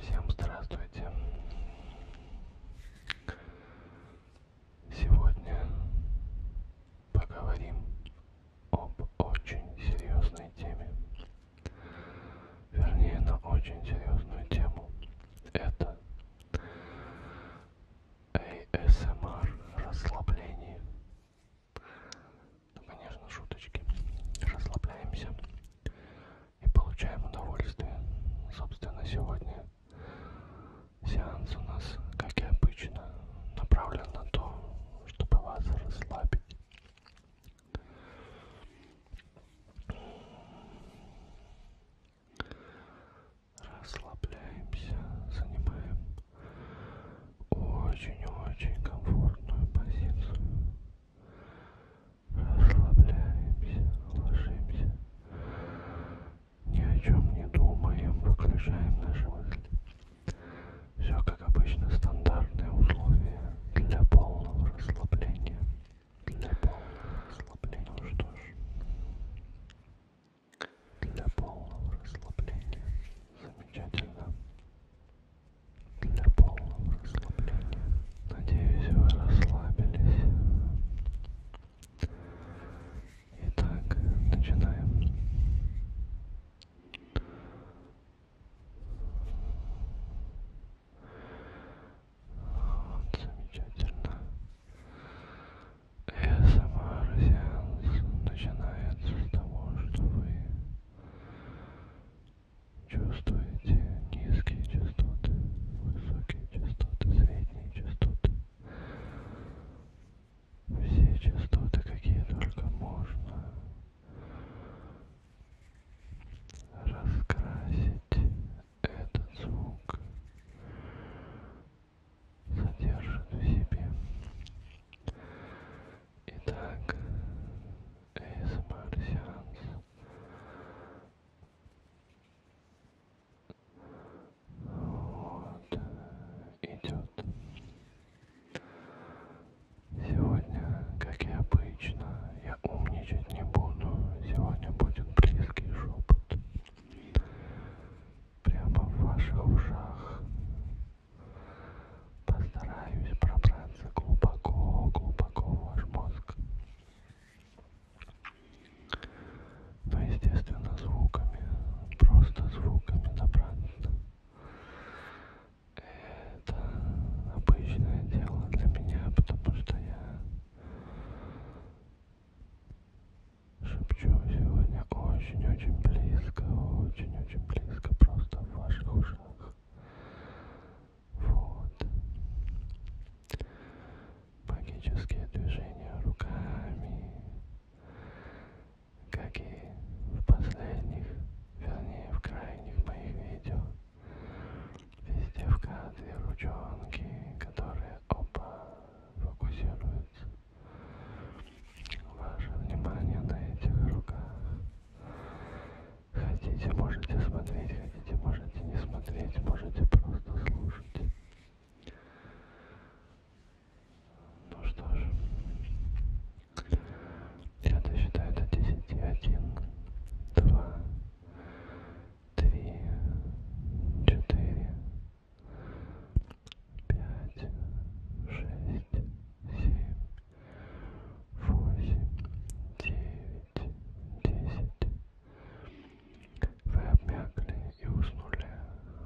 Всем здравствуйте. Сегодня поговорим об очень серьезной теме. Вернее, на очень серьезную тему. Это ASMR расслабление. Ну, конечно, шуточки. Расслабляемся и получаем удовольствие. Собственно, сегодня сеанс у нас, как и обычно, направлен на то, чтобы вас расслабить. Расслабляемся, занимаем очень-очень комфортную позицию. Расслабляемся, ложимся. Ни о чем не думаем, выключаем наши мысли. Все как обычно, стандартные условия для полного расслабления. Для полного расслабления. Ну что ж, для полного расслабления. Замечательно. Для полного расслабления. Надеюсь, вы расслабились. Итак, начинаем. Вот, замечательно. СМР эм сеанс начинается с того, что вы чувствуете низкие частоты, высокие частоты, средние частоты. Все частоты, какие только можно раскрасить этот звук содержит в себе. Итак, ASMR-сеанс вот, идет. Сегодня, как и обычно, я умничать не буду. Сегодня будет близкий шепот прямо в ваших ушах. Постараюсь пробраться глубоко, глубоко в ваш мозг. Но, ну, естественно, звуками, просто звуками добраться. Это обычное дело для меня, потому что я Шепчу сегодня очень-очень близко, очень-очень близко, просто в ваших ушах. Вот. Магические движения руками, как и в последних, вернее в крайних моих видео. Везде в кадре ручонки, которые оба фокусируются Ваше внимание на этих руках. Хотите, можете смотреть, хотите, можете не смотреть, можете просто слушать. Ну что ж, я досчитаю до десяти. Один, два, три, четыре, пять, шесть, семь, восемь, девять, десять. Вы обмякли и уснули.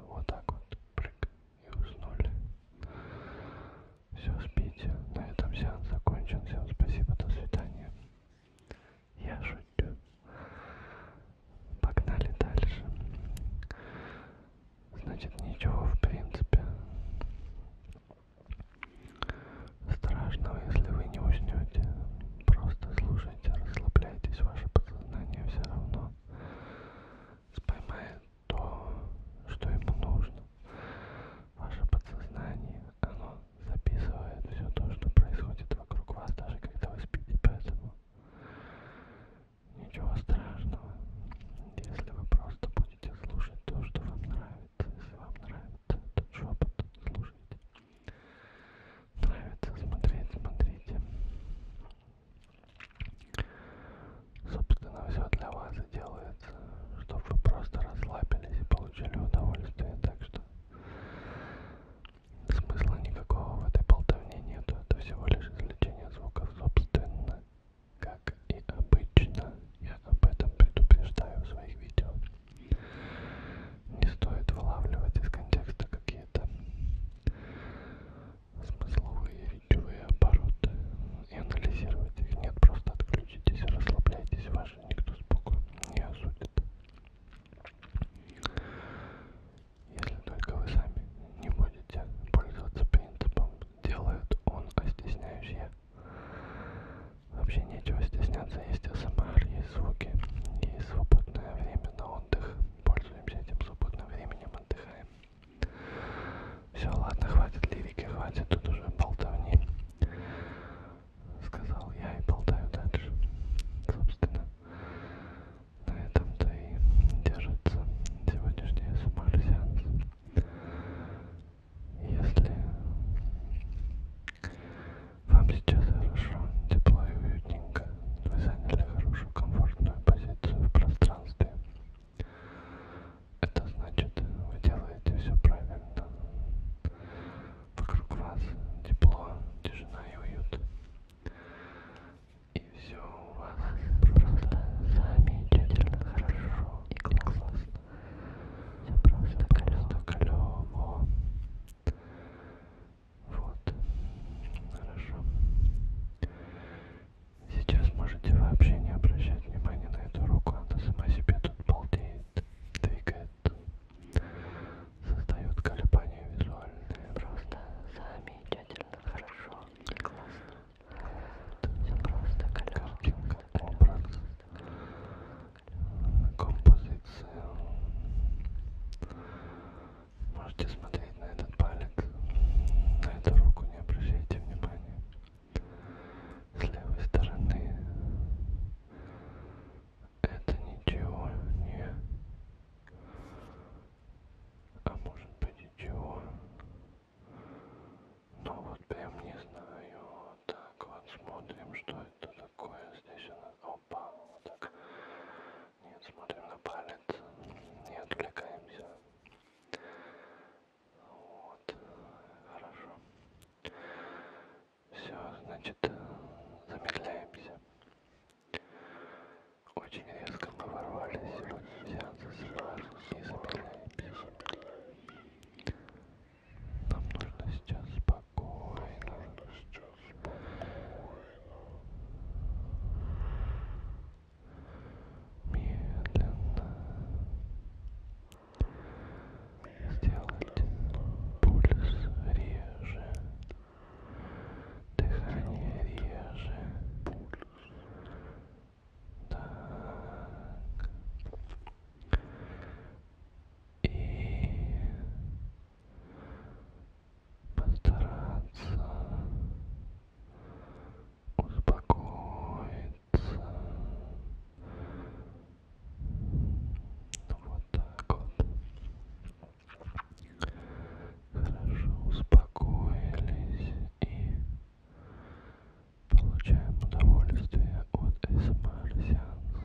Вот так вот. Прыг. И уснули. Все, спите. На этом сеанс закончен. Всем спасибо. До свидания. Я шучу. Погнали дальше. Значит, ничего в принципе страшного, если вы не уснете. Просто слушайте, расслабляйтесь, ваше подсознание все равно споймает то, что ему нужно. Ваше подсознание, оно записывает все то, что происходит вокруг вас, даже когда вы спите, поэтому Ничего страшного, если вы просто будете слушать то, что вам нравится. Если вам нравится этот шепот, слушайте. Нравится смотреть, смотрите. Собственно, все для вас и делается, чтобы вы просто расслабились и получили удовольствие. Так что Смысла никакого в этой болтовне нету, это всего лишь извлечение звуков собственно. Как и обычно, я об этом предупреждаю в своих видео. Не стоит вылавливать из контекста какие-то смысловые речевые обороты и анализировать их. Нет, просто отключитесь, расслабляйтесь, ваши никто спокойно не осудит если только вы сами не будете пользоваться принципом «делает он, а стесняюсь я». Вообще нечего стесняться, есть СМР, есть звуки, есть свободное время на отдых. Пользуемся этим свободным временем, отдыхаем. Все, ладно, хватит лирики, хватит тут уже болтовни. Сказал я и болтаю дальше. Собственно, на этом-то и держится сегодняшний СМР-сеанс. Если вам сейчас хорошо, тепло и уютненько, вы заняли хорошую, комфортную позицию в пространстве, это значит, вы делаете все правильно. Вокруг вас тепло, тишина и уют. И все у вас просто замечательно, хорошо и классно. Все просто клево. Вот. Хорошо. Сейчас можете вообще не обращать внимания на эту руку. Она сама себе тут балдеет, двигает создают компанию визуальные. Просто замечательно, хорошо, классно. Все просто, картинка, образ, композиция. Можете смотреть на этот палец, на эту руку, не обращайте внимания. С левой стороны это ничего не а может быть и чего? Но ну вот прям не знаю. Вот так вот смотрим, что это такое. Здесь она... Опа, вот так. Нет, смотрим на палец. Не отвлекаемся. Вот. Хорошо. Все, значит, замедляемся. Очень резко мы ворвались сегодня в сеансы СМР и замедляем пищу. Нам нужно сейчас спокойно. Сейчас спокойно. Медленно. Сделать пульс реже дыхание реже, пульс. Так. И постараться успокоиться. Вот так вот. Хорошо, успокоились и получаем удовольствие от СМР сеанса.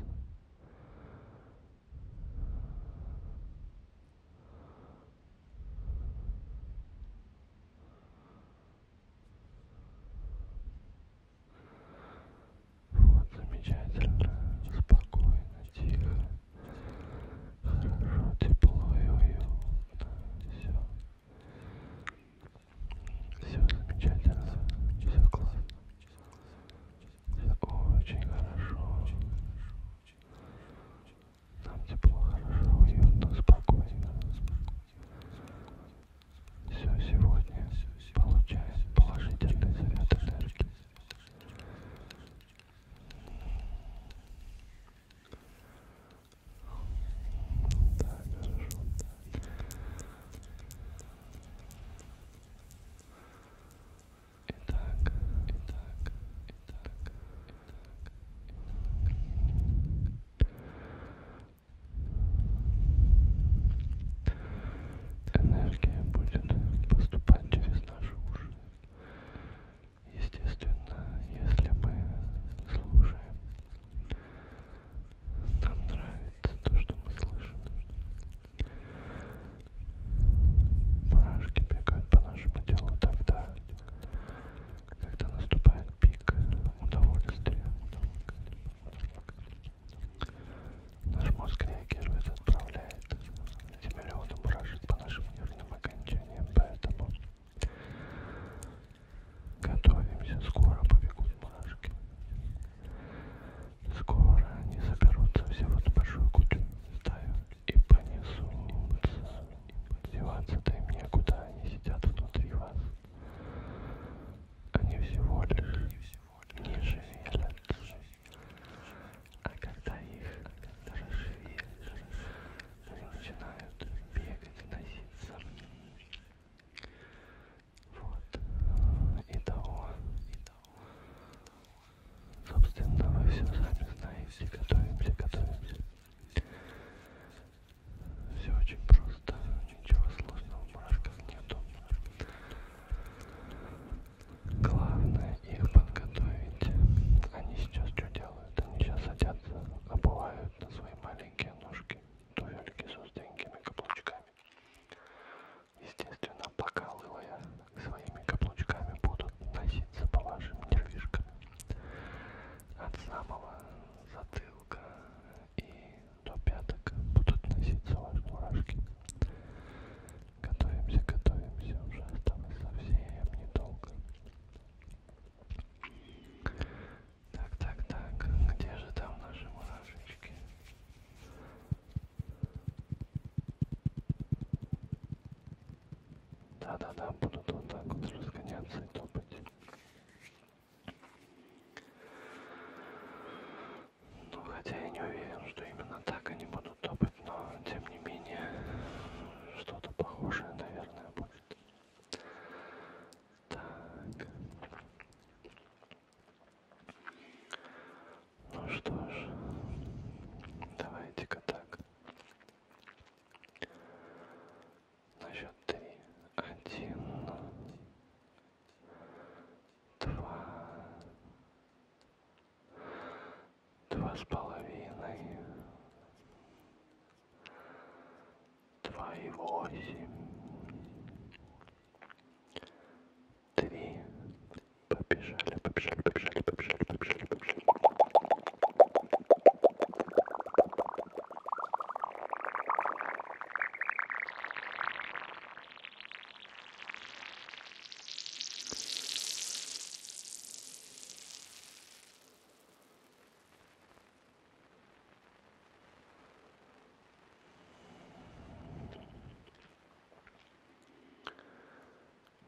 Вот, замечательно, спокойно, тихо тепло и уютно. Все. Все замечательно. Все классно. Все очень хорошо. Нам тепло, хорошо, уютно, спокойно. Все сегодня получает положительный заряд энергии. Да, хорошо, да. Итак, итак, итак, итак, итак. Энергия будет поступать через наши уши. Естественно, если мы слушаем, нам нравится то, что мы слышим. Мурашки бегают по нашему телу тогда, когда наступает пик удовольствия. Наш мозг реагирует, отправляет Земля воду мурашит по нашим нервным окончаниям, поэтому готовимся. Скоро побегут мурашки. Скоро они соберутся все в эту большую кучу, стаю и понесутся. Деваться-то им некуда, они сидят внутри вас. Они всего лишь не шевелятся. А когда их расшевелишь, они начинают бегать, носиться. Вот. И того. Собственно, вы все сами знаете. Готовимся, готовимся. Все очень просто, ничего сложного, мурашков нету. Главное их подготовить. Они сейчас что делают? Они сейчас садятся, обувают на свои маленькие ножки туфельки с узкими каблучками. Естественно, покалывая своими каблучками будут носиться по вашим нервишкам. От самого затылка и до пяток будут носиться ваши мурашки. Готовимся, готовимся, уже осталось совсем недолго. Так, так, так, где же там наши мурашечки? Да-да-да, будут вот так вот разгоняться и топать. Ну, хотя я не уверен, что именно так они будут топать быть, но тем не менее что-то похожее, наверное, будет. Так. Ну что ж, давайте-ка так. На счет три. Один. Два два с половиной, два и восемь, три. Побежали, побежали, побежали, побежали, побежали, побежали.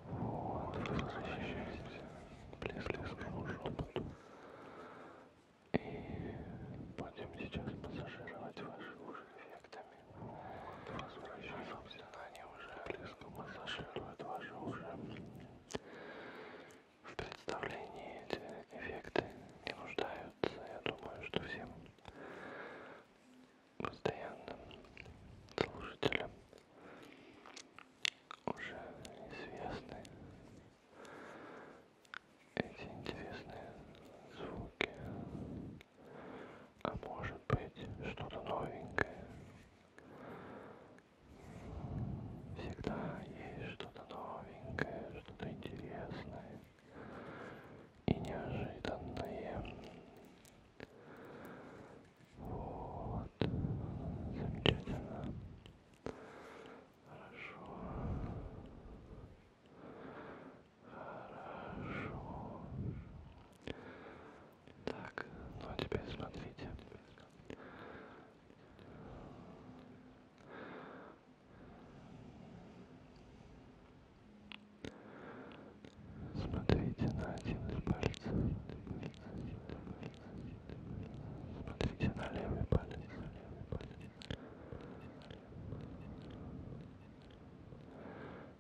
Вот, возвращаемся к плескному шепоту. И будем сейчас массажировать ваши уши эффектами. Возвращенном сознании уже близко массажирует ваши уши. В представлении эти эффекты не нуждаются. Я думаю, что всем постоянным слушателям уже известны эти интересные звуки а может быть что-то новенькое. Всегда есть что-то новенькое, что-то интересное и неожиданное. Вот, замечательно. Хорошо. Хорошо. Так, ну а теперь смотрите. Смотрите на один палец. Смотрите на левый палец. Смотрите на левый палец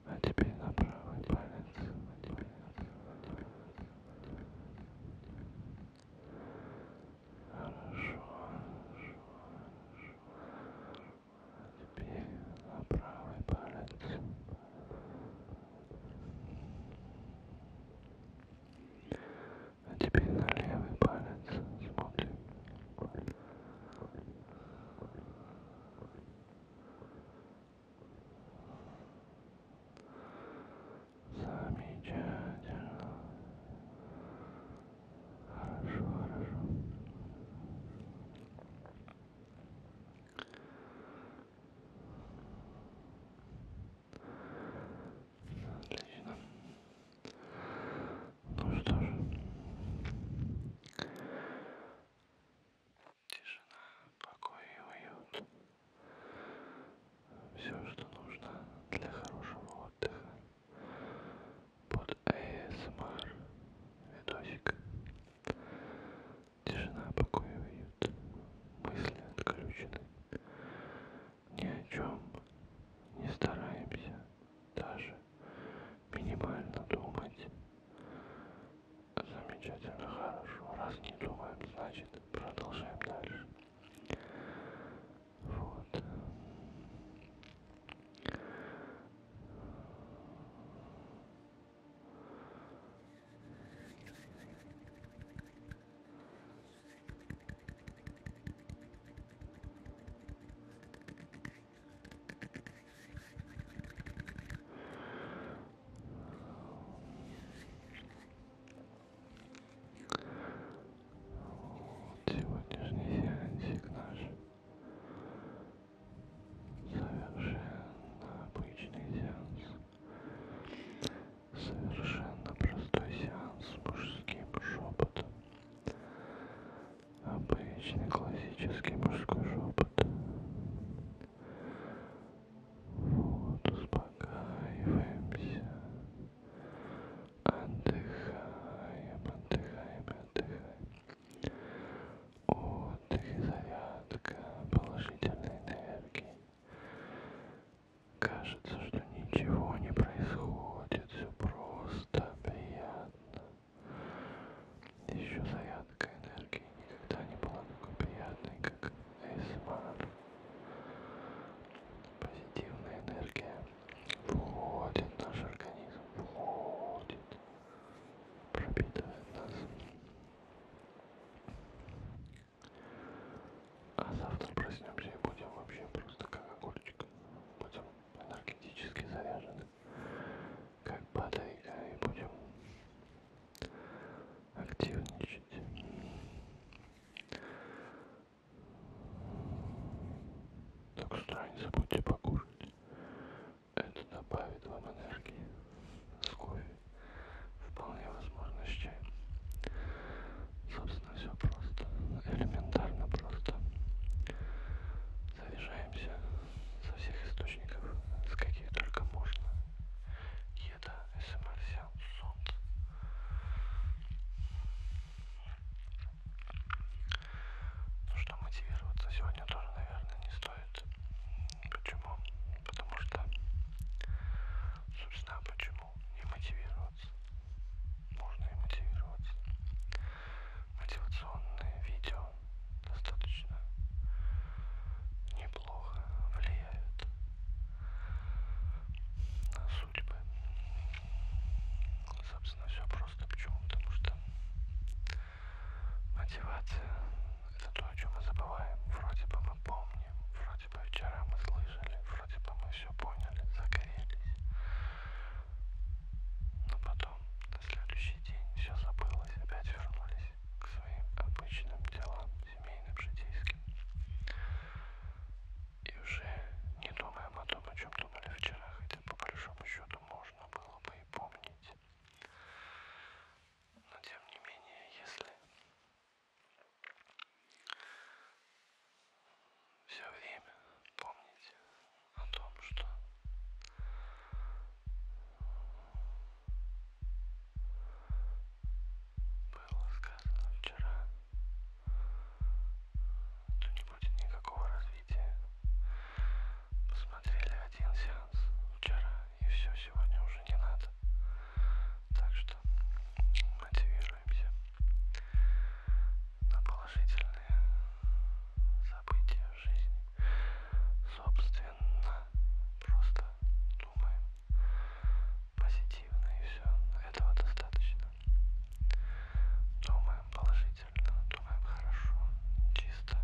а теперь на правый палец, а теперь на правый, а теперь на правый, а теперь на правый. Хорошо, хорошо, хорошо. А теперь на правый палец. А теперь на левый палец смотрим. Замечательно. Хорошо, хорошо. Отлично. Ну что ж тишина, покой и уют. Все, что нужно для хорошего отдыха. Под ASMR видосик. Тишина, покой и уют. Мысли отключены. Ни о чем не стараемся даже минимально думать. Замечательно, хорошо. Раз не думаем, значит продолжаем дальше. Вот. Сегодняшний сеансик наш совершенно обычный сеанс, совершенно простой сеанс с мужским шепотом, обычный классический мужской шепот. Вот, успокаиваемся. Отдыхаем, отдыхаем, отдыхаем. Отдых и зарядка положительной энергии. Кажется, что ничего не происходит, все просто приятно. Еще зарядка энергии никогда не была такой приятной, как ASMR. Позитивная энергия входит в наш организм, входит, пропитывает нас. А завтра проснемся и будем вообще просто как огурчик. Будем энергетически заряжены как батарейка и будем активничать. Так что не забудьте покушать. Это добавит вам энергии. С кофе. Вполне возможно с чаем. Собственно, все просто. Элементарно просто заряжаемся со всех источников, с каких только можно. Еда, СМР, эм сеанс, сон. Ну что, мотивироваться сегодня тоже, наверное, не стоит. Почему? Потому что, собственно, почему не мотивироваться? Можно и мотивироваться. Мотивационные видео достаточно неплохо влияют на судьбы. Собственно, все просто. Почему? Потому что мотивация – это то, о чем мы забываем. Вроде бы мы помним, вроде бы вчера мы слышали, вроде бы мы все поняли, загорелись. Но потом на следующий день все забылось, опять вернулись вернулась к своим обычным делам, семейным, житейским. И уже не думаем о том, о чем думали вчера, хотя по большому счету можно было бы и помнить. Но тем не менее, если все время помнить о том, что было сказано вчера, то не будет никакого развития. Посмотрели один сеанс вчера и все, сегодня уже не надо. Так что мотивируемся на положительные события в жизни. Собственно, просто думаем позитивно и все. Этого достаточно. Думаем положительно, думаем хорошо, чисто.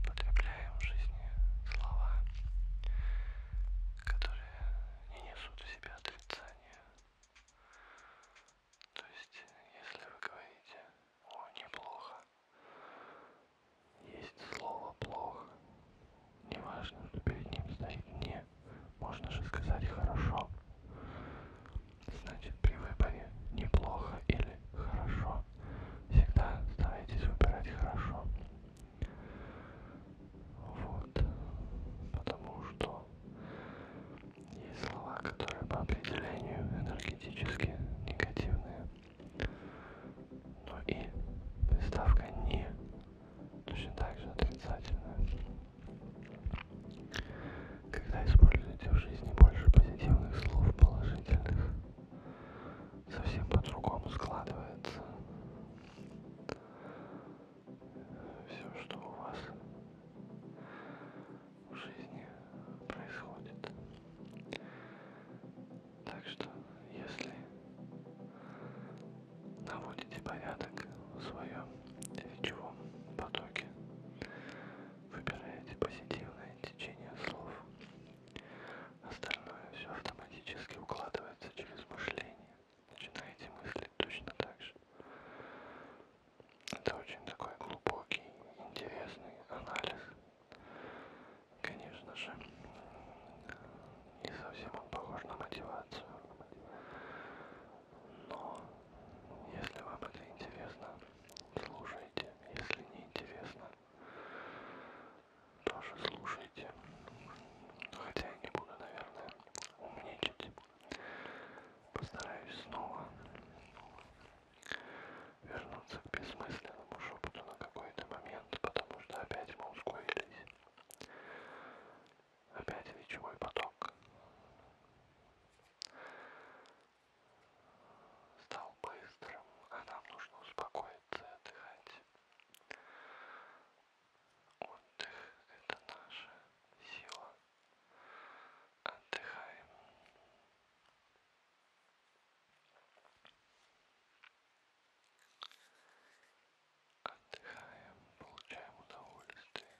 Употребляем в жизни слова, которые не несут в себе отрицания. То есть, если вы говорите о, неплохо. Есть слово плохо. Неважно, что перед ним стоит не. Можно же сказать хорошо. Значит, при выборе неплохо или хорошо. Всегда старайтесь выбирать хорошо. Вот. Потому что есть слова, которые по определению энергетически негативные. Ну и приставка не точно так же отрицательная. Когда используете в жизни больше позитивных слов, положительных, совсем по-другому складывается все, что у вас в жизни происходит. Так что, если наводите порядок в своем речевом потоке, выбираете позитивное течение слов, остальное все автоматически укладывается через мышление. Начинаете мыслить точно так же. Это очень такой глубокий, интересный анализ Конечно же, не совсем он похож на мотивацию. Но, если вам это интересно, слушайте. Если не интересно, тоже слушайте. Хотя я не буду, наверное, умничать. Постараюсь снова вернуться к бессмысленному шепоту на какой-то момент, потому что опять мы ускорились. Опять речевой поток стал быстрым, а нам нужно успокоиться и отдыхать. Отдых — это наша сила. Отдыхаем. Отдыхаем, получаем удовольствие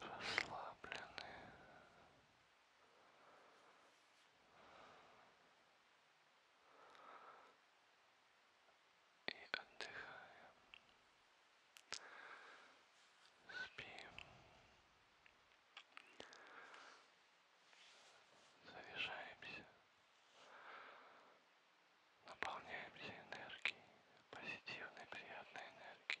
расслаблены. И отдыхаем. Спим. Заряжаемся. Наполняемся энергией, позитивной, приятной энергией.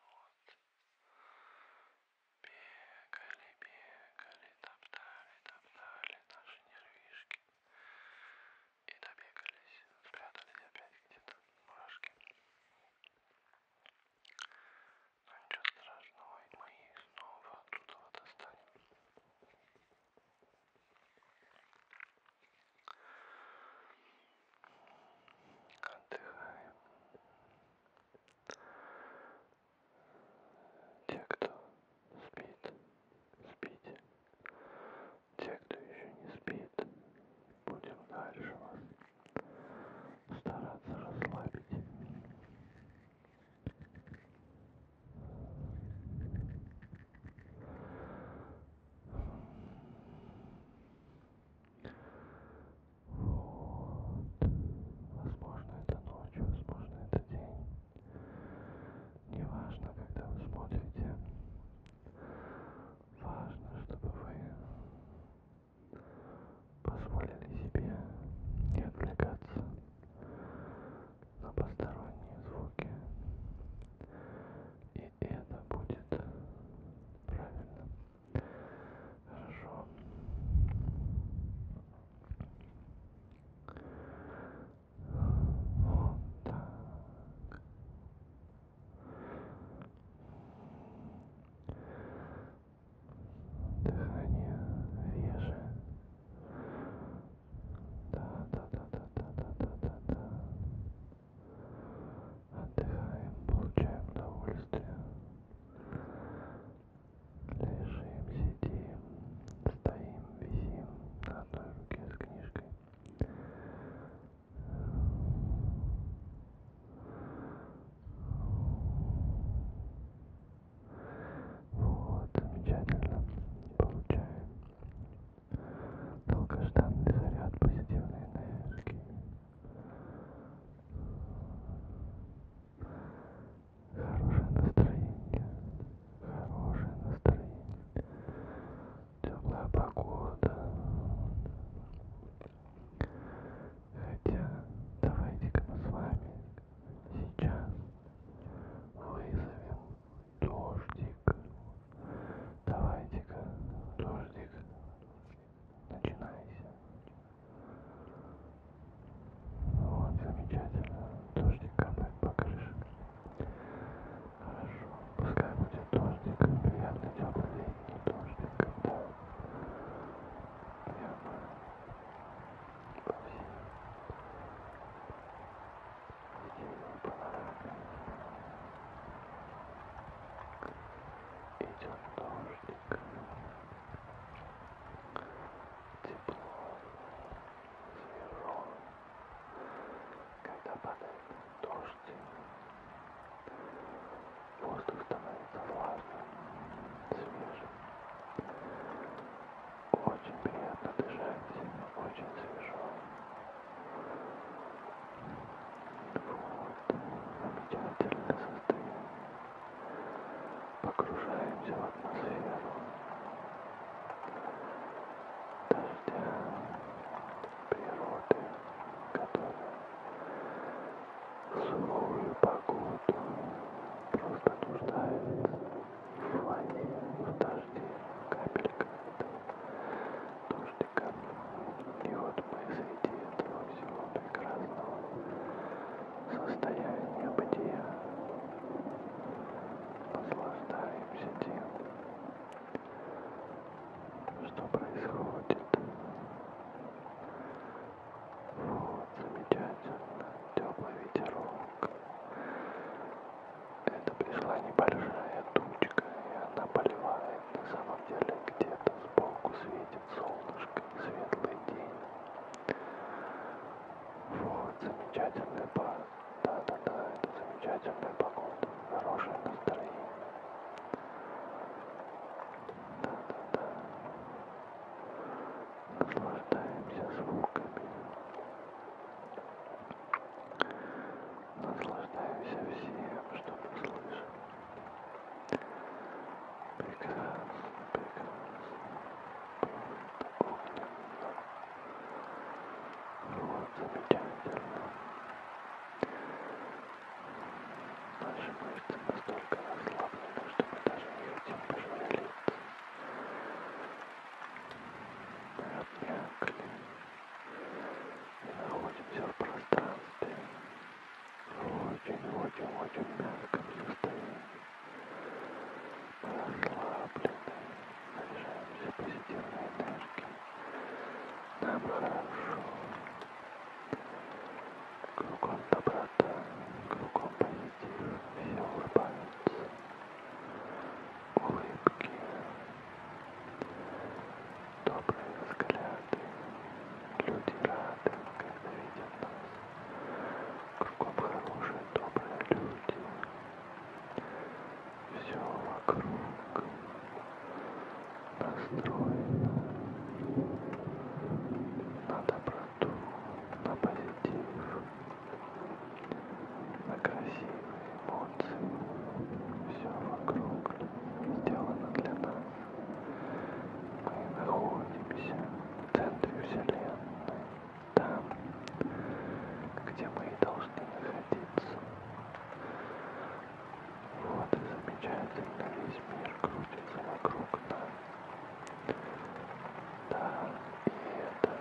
Вот. Бегали, бегали, топтали, топтали наши нервишки и добегались, спрятались опять где-то мурашки. Но ну, ничего страшного, и мы их снова оттуда достанем. Отдыхаем. Те, кто спит, спите те, кто еще не спит, будем дальше вас стараться расслабить. Вот. Возможно, это ночь, возможно, это день. Неважно, когда вы смотрите Важно, чтобы вы позволили себе не отвлекаться на посторонние звуки. И это будет правильно. Хорошо. Вот так. Дыхание реже. Да-да-да-да-да-да-да-да. Отдыхаем, получаем удовольствие. Лежим, сидим, стоим, висим на одной руке с книжкой. Вот, замечательно. Получаем долгожданный заряд позитивной энергии. Хорошее настроение. Хорошее настроение теплая погода. Хотя, давайте-ка мы с вами сейчас вызовем дождик. Давайте-ка, дождик, начинайся. Вот, замечательно. Дождик капает по крыше. Хорошо, пускай будет дождик, приятный теплый летний дождик, когда прямо по всей недельной панораме идет дождик, тепло, свежо. Когда падает дождь, воздух становится влажным, свежим. Очень приятно дышать, очень свежо. Вот, замечательное состояние. Погружаемся в атмосферу. Даже природы, которая в сухую погоду просто нуждается в воде, в дожде, в капельках дождиком. И вот мы среди этого всего прекрасного состояния бытия наслаждаемся тем, что происходит. Вот, замечательно, теплый ветерок. Это пришла небольшая тучка, и она поливает. На самом деле где-то сбоку светит солнышко, светлый день. Вот, замечательный парк. Да-да-да, это замечательная погода, хорошее настроение. Да-да-да. Наслаждаемся звуками. Наслаждаемся всем, что мы слышим. Прекрасно, прекрасно. Будет огненно. Вот, замечательно. Наши мышцы настолько расслаблены, что мы даже не хотим пошевелиться. Мы обмякли и находимся в пространстве в очень-очень-очень мягком состоянии. Мы расслаблены. Сейчас везде энергии. Нам хорошо. Кругом доброта, кругом позитив. Все улыбаются. Улыбки. Добрые взгляды. Люди рады, когда видят нас. Кругом хорошие, добрые люди все вокруг настроено на доброту, на позитив, на красивые эмоции. Все вокруг сделано для нас. Мы находимся в центре Вселенной, там, где мы и должны находиться. Вот и замечательно весь мир крутится вокруг нас. Да, и это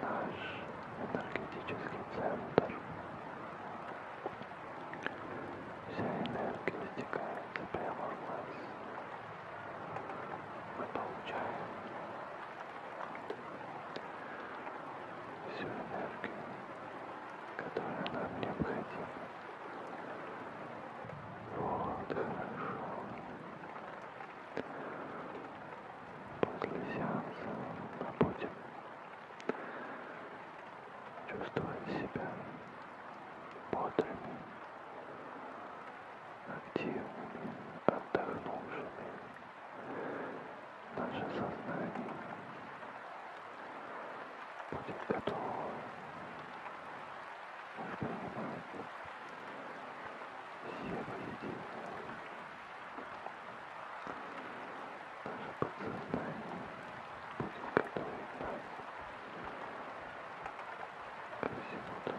наш энергетический центр. Вся энергия стекается прямо в нас. Мы получаем всю энергию, которая нам необходима. Вот, хорошо. После сеанса мы будем чувствовать себя бодрыми, активными, отдохнувшими наше сознание будет готово воспринимать все воедино. Наше подсознание будет готовить нас ко всему тому,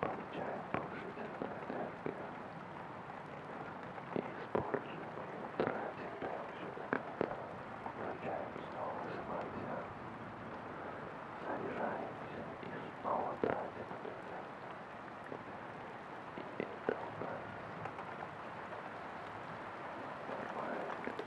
Получаем положительную энергию и используем ее, тратим прямо все до конца. Включаем снова самодел, заряжаемся и снова тратим эту энергию. И это у нас нормальный процесс.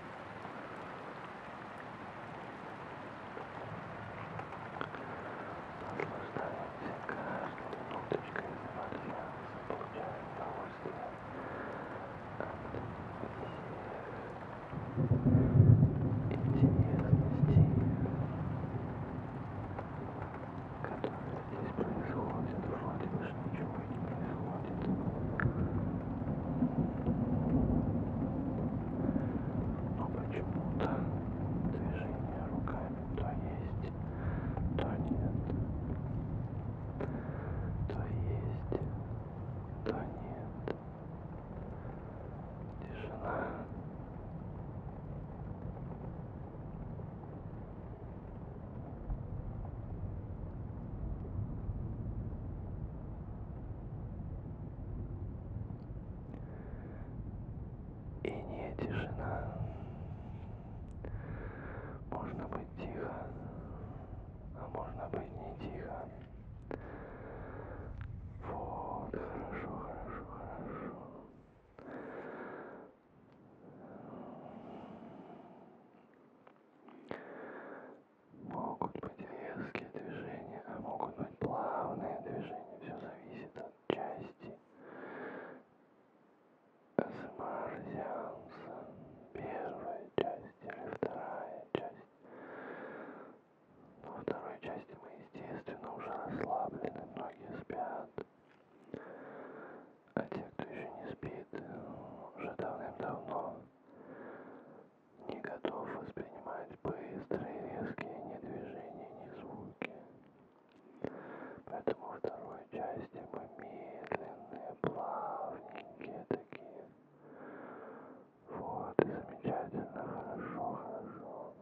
Наслаждайся каждой минуточкой вальянса, получая удовольствие от интересностей, которые здесь происходят, вроде лишь ничего но почему-то движение руками то есть, то нет. То есть, то нет. Тишина. И не тишина. Можно быть тихо, а можно быть не тихо. Вот, хорошо, хорошо, хорошо могут быть резкие движения, а могут быть плавные движения. Все зависит от части СМР-сеанса. Первая часть или вторая часть. Во второй части мы, естественно, уже расслаблены, многие спят. А те, кто еще не спит, уже давным-давно не готов воспринимать быстрые, резкие ни движения, ни звуки. Поэтому во второй части мы медленные, плавненькие такие. Вот, и замечательно, хорошо, хорошо.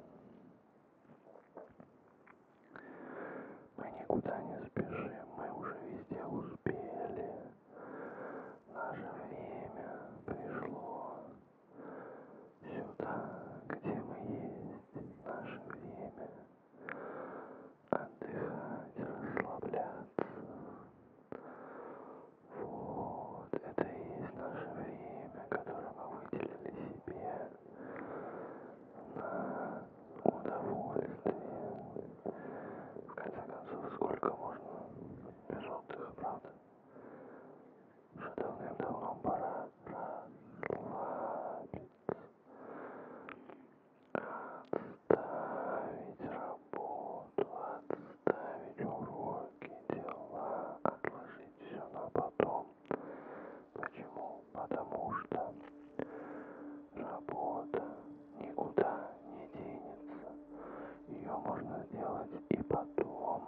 Мы никуда не спешим, мы уже везде успели. Наше время пришло сюда, где мы есть, наше время отдыхать, расслабляться. Вот, это и есть наше время, которое мы выделили себе на удовольствие. В конце концов, сколько можно без отдыха, правда? Уже давным-давно пора расслабиться. Отставить работу, отставить уроки, дела, отложить все на потом. Почему? Потому что Работа никуда не денется. Ее можно сделать и потом.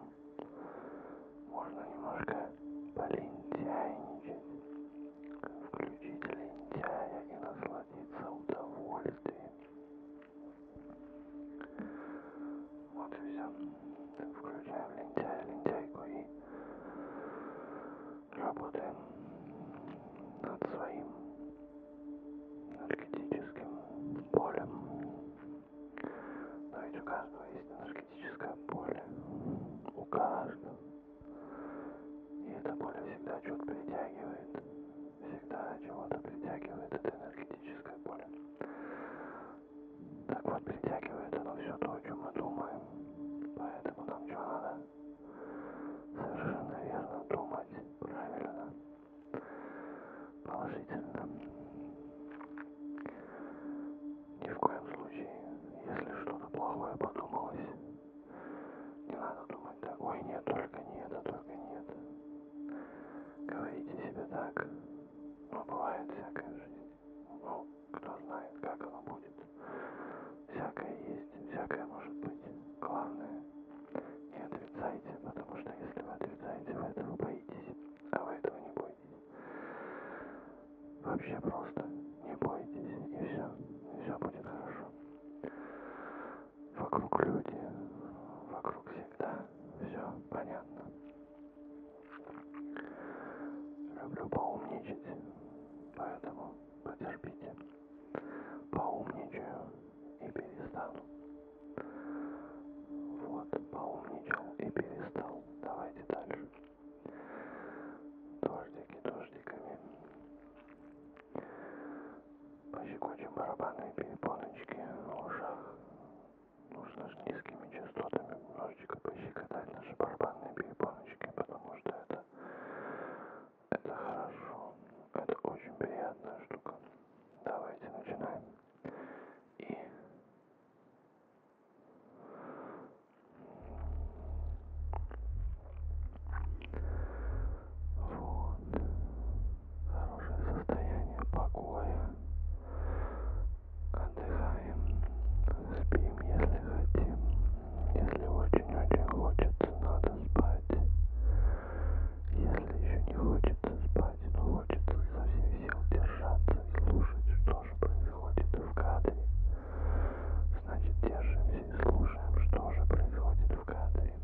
Можно немножко полентяйничать. Включить лентяя и насладиться удовольствием. Вот и все. Включаем лентяя, лентяйку и работаем над своим энергетическим полем. Но ведь у каждого есть энергетическое поле. У каждого. И это поле всегда что-то притягивает. Всегда чего-то притягивает это энергетическое поле. Так вот, притягивает оно все то, о чем мы думаем. Поэтому нам что надо? Совершенно верно думать правильно, положительно. Ни в коем случае, если что-то плохое подумалось, не надо думать так, ой, нет, только не это, а только не это. Говорите себе так, но ну, бывает всякая жизнь. Ну, кто знает, как оно будет. Всякое есть, всякое может быть. Главное — не отрицайте, потому что если вы отрицаете, вы этого боитесь, а вы этого не боитесь. Вообще просто не бойтесь, и все, и все будет хорошо. Вокруг люди, вокруг всегда все понятно. Люблю поумничать, поэтому Потерпите. Поумничаю и перестану. Вот, поумничал и перестал. Давайте дальше. Дождики дождиками. Пощекочем барабанные перепоночки в ушах. Нужно же низкими частотами немножечко пощекотать наши барабанные перепоночки, потому что это это хорошо. Это очень приятная штука. Давайте начинаем. И вот хорошее состояние покоя. Отдыхаем, спим, если хотим. Если очень-очень хочется, надо спать. Если еще не хочется спать, но хочется со всех сил держаться и слушать, что же происходит в кадре, значит держимся и слушаем, что же происходит в кадре.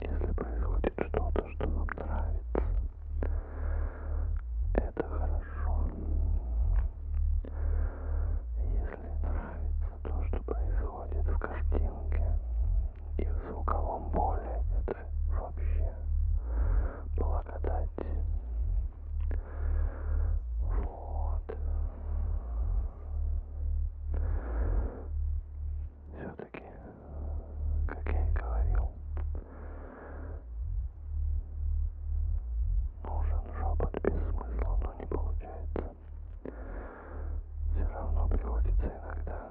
Если происходит что-то, что вам нравится, это хорошо. Если нравится то, что происходит в картинке и в звуковом поле, это вообще благодать. Вот. Все-таки, как я и говорил, нужен шепот без смысла, но не получается все равно приходится иногда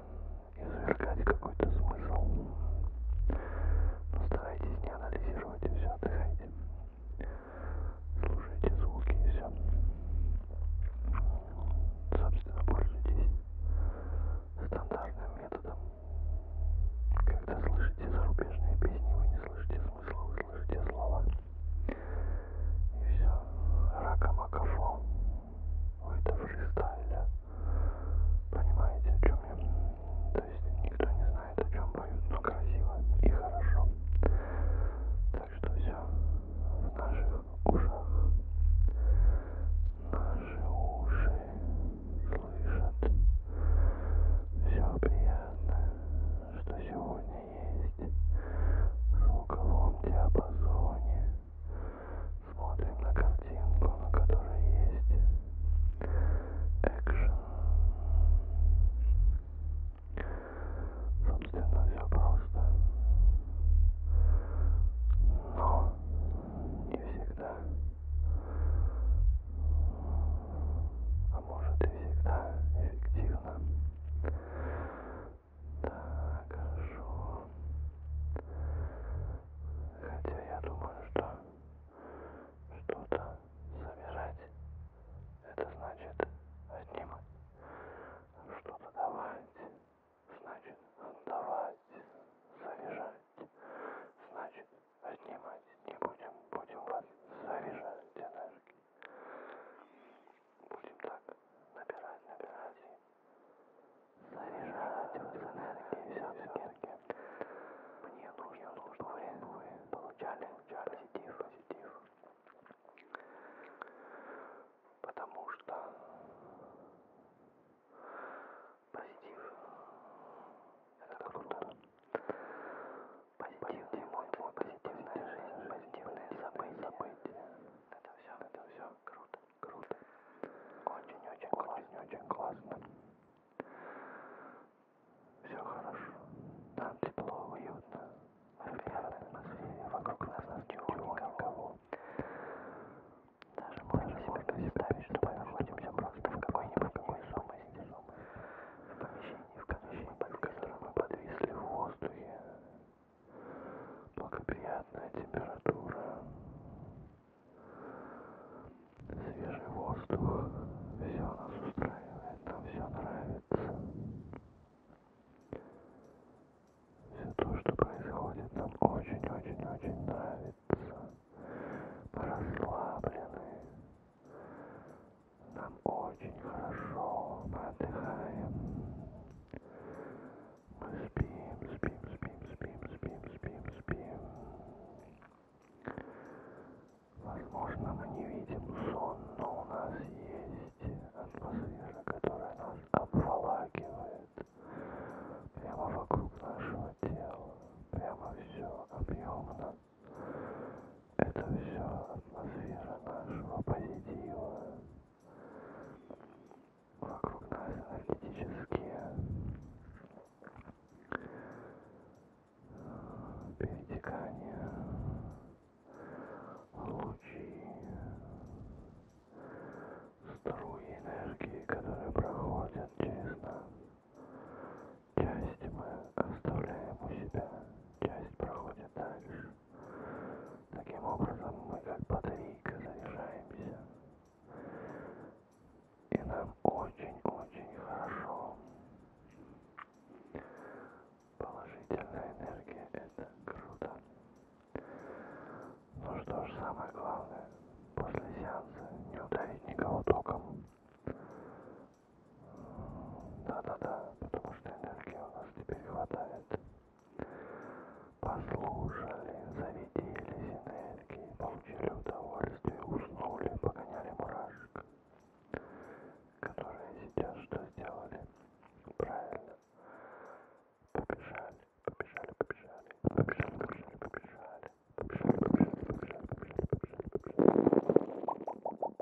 извергать какой-то смысл. Но старайтесь не анализировать и все, отдыхайте. Слушайте звуки и все. Собственно, пользуйтесь стандартным методом. Когда слышите зарубежные песни, вы не слышите смысла, вы слышите слова. И все. Ракомакафон. Это фристайля. Понимаете, о чем я? То есть никто не знает, о чем поют, но красиво и хорошо. Так что все в наших ушах. Наши уши слышат все приятное, что сегодня есть в звуковом диапазоне. Смотрим на картинку, на которой есть экшен. Собственно, все просто. Но не всегда. А может и всегда эффективно. Так, хорошо. Хотя я думаю, что что-то собирать, это значит отнимать. Что-то давать, значит отдавать. Заряжать, значит отнимать. Не будем, будем вас заряжать энергией. Будем так набирать, набирать и заряжать энергии все-таки. Мне нужно, чтобы вы получали позитив, позитив. Потому что позитив это круто. Позитивные эмоции, позитивная жизнь, позитивные события. Это все, это все круто, круто. Очень-очень классно, очень классно. Все хорошо. Там тепло, уютно. В приятной атмосфере. Вокруг нас нас чего, никого. Даже можно себе представить, что мы находимся просто в какой-нибудь невесомости. В помещении, в помещении, в котором мы подвисли в воздухе благоприятная температура, свежий воздух, все нас устраивает, нам все нравится. Все то, что происходит, нам очень-очень-очень нравится. Мы расслаблены. Нам очень хорошо, мы отдыхаем спим, спим, спим, спим, спим, спим, спим. Возможно, мы не видим сон, но у нас есть атмосфера, которая нас обволакивает. Прямо вокруг нашего тела. Прямо все объемно. Это все атмосфера нашего позитива. Вокруг нас энергетические перетекания, лучи, струи энергии, которые проходят через нас. Часть мы оставляем у себя, часть проходит дальше. Таким образом мы как батарейка заряжаемся. И нам очень-очень хорошо. Положительная энергия это круто. Ну что ж, самое главное, после сеанса не ударить никого током. Да-да-да, потому что энергии у нас теперь хватает. Послушали, завиделись энергии, получили удовольствие, уснули, погоняли мурашек, которые сейчас что сделали? Правильно. Побежали, побежали, побежали, побежали, побежали, побежали, побежали, побежали, побежали, побежали, побежали, побежали.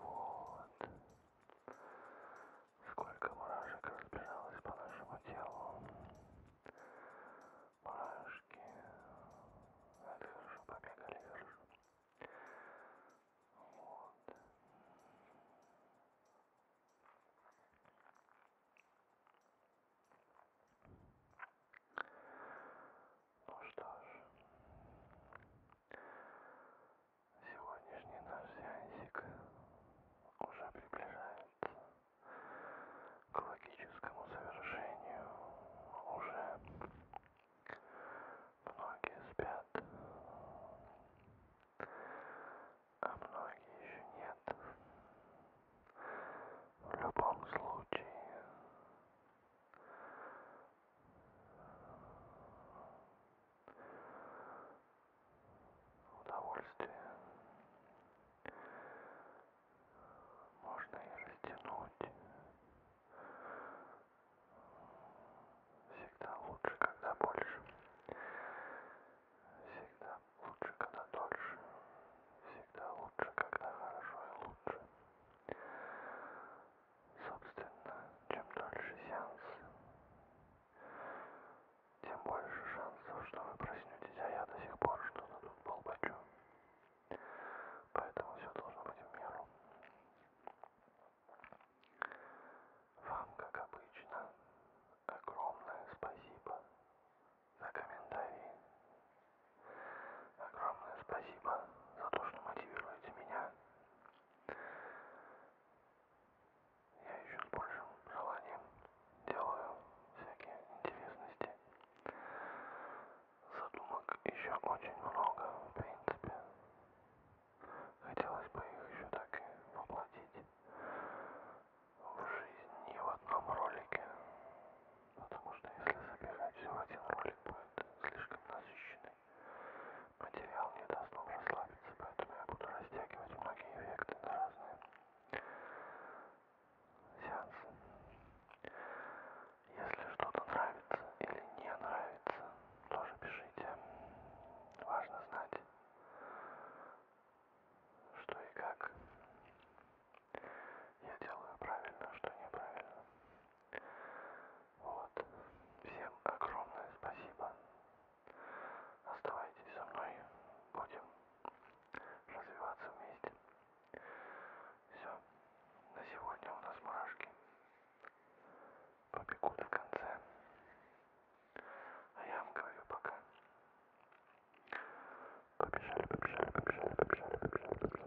Вот. Сколько мурашек разбежалось по нашему телу. Мурашки. Это хорошо, побегали хорошо. Вот. Ну что ж, Сегодняшний наш сеансик уже приближается к логическому завершению. Уже многие спят, а многие еще нет. В любом случае, удовольствие можно и растянуть. Всегда лучше, когда больше. Всегда лучше, когда дольше. Всегда лучше, когда хорошо и лучше. Собственно, чем дольше сеанс, тем больше шансов, что вы проснетесь, а я до сих пор что-то тут болбачу. Поэтому все должно быть в меру. Вам, как обычно, огромное спасибо за комментарии. Огромное спасибо за то, что мотивируете меня. Я еще с большим желанием делаю всякие интересности. Задумок еще очень много, в принципе. Хотелось бы их еще так и воплотить в жизнь не в одном ролике. Потому что если запихать все в один ролик, будет слишком насыщенный. Материал не даст нам расслабиться, поэтому я буду растягивать многие эффекты на разные сеансы. Если что-то нравится или не нравится, тоже пишите. Важно знать, что и как я делаю правильно, что неправильно. Вот. Всем огромное спасибо. Оставайтесь со мной. Будем развиваться вместе. Все. На сегодня у нас мурашки. Побегут в конце. А я вам говорю пока. Побежали, побежали, побежали, побежали, побежали, побежали.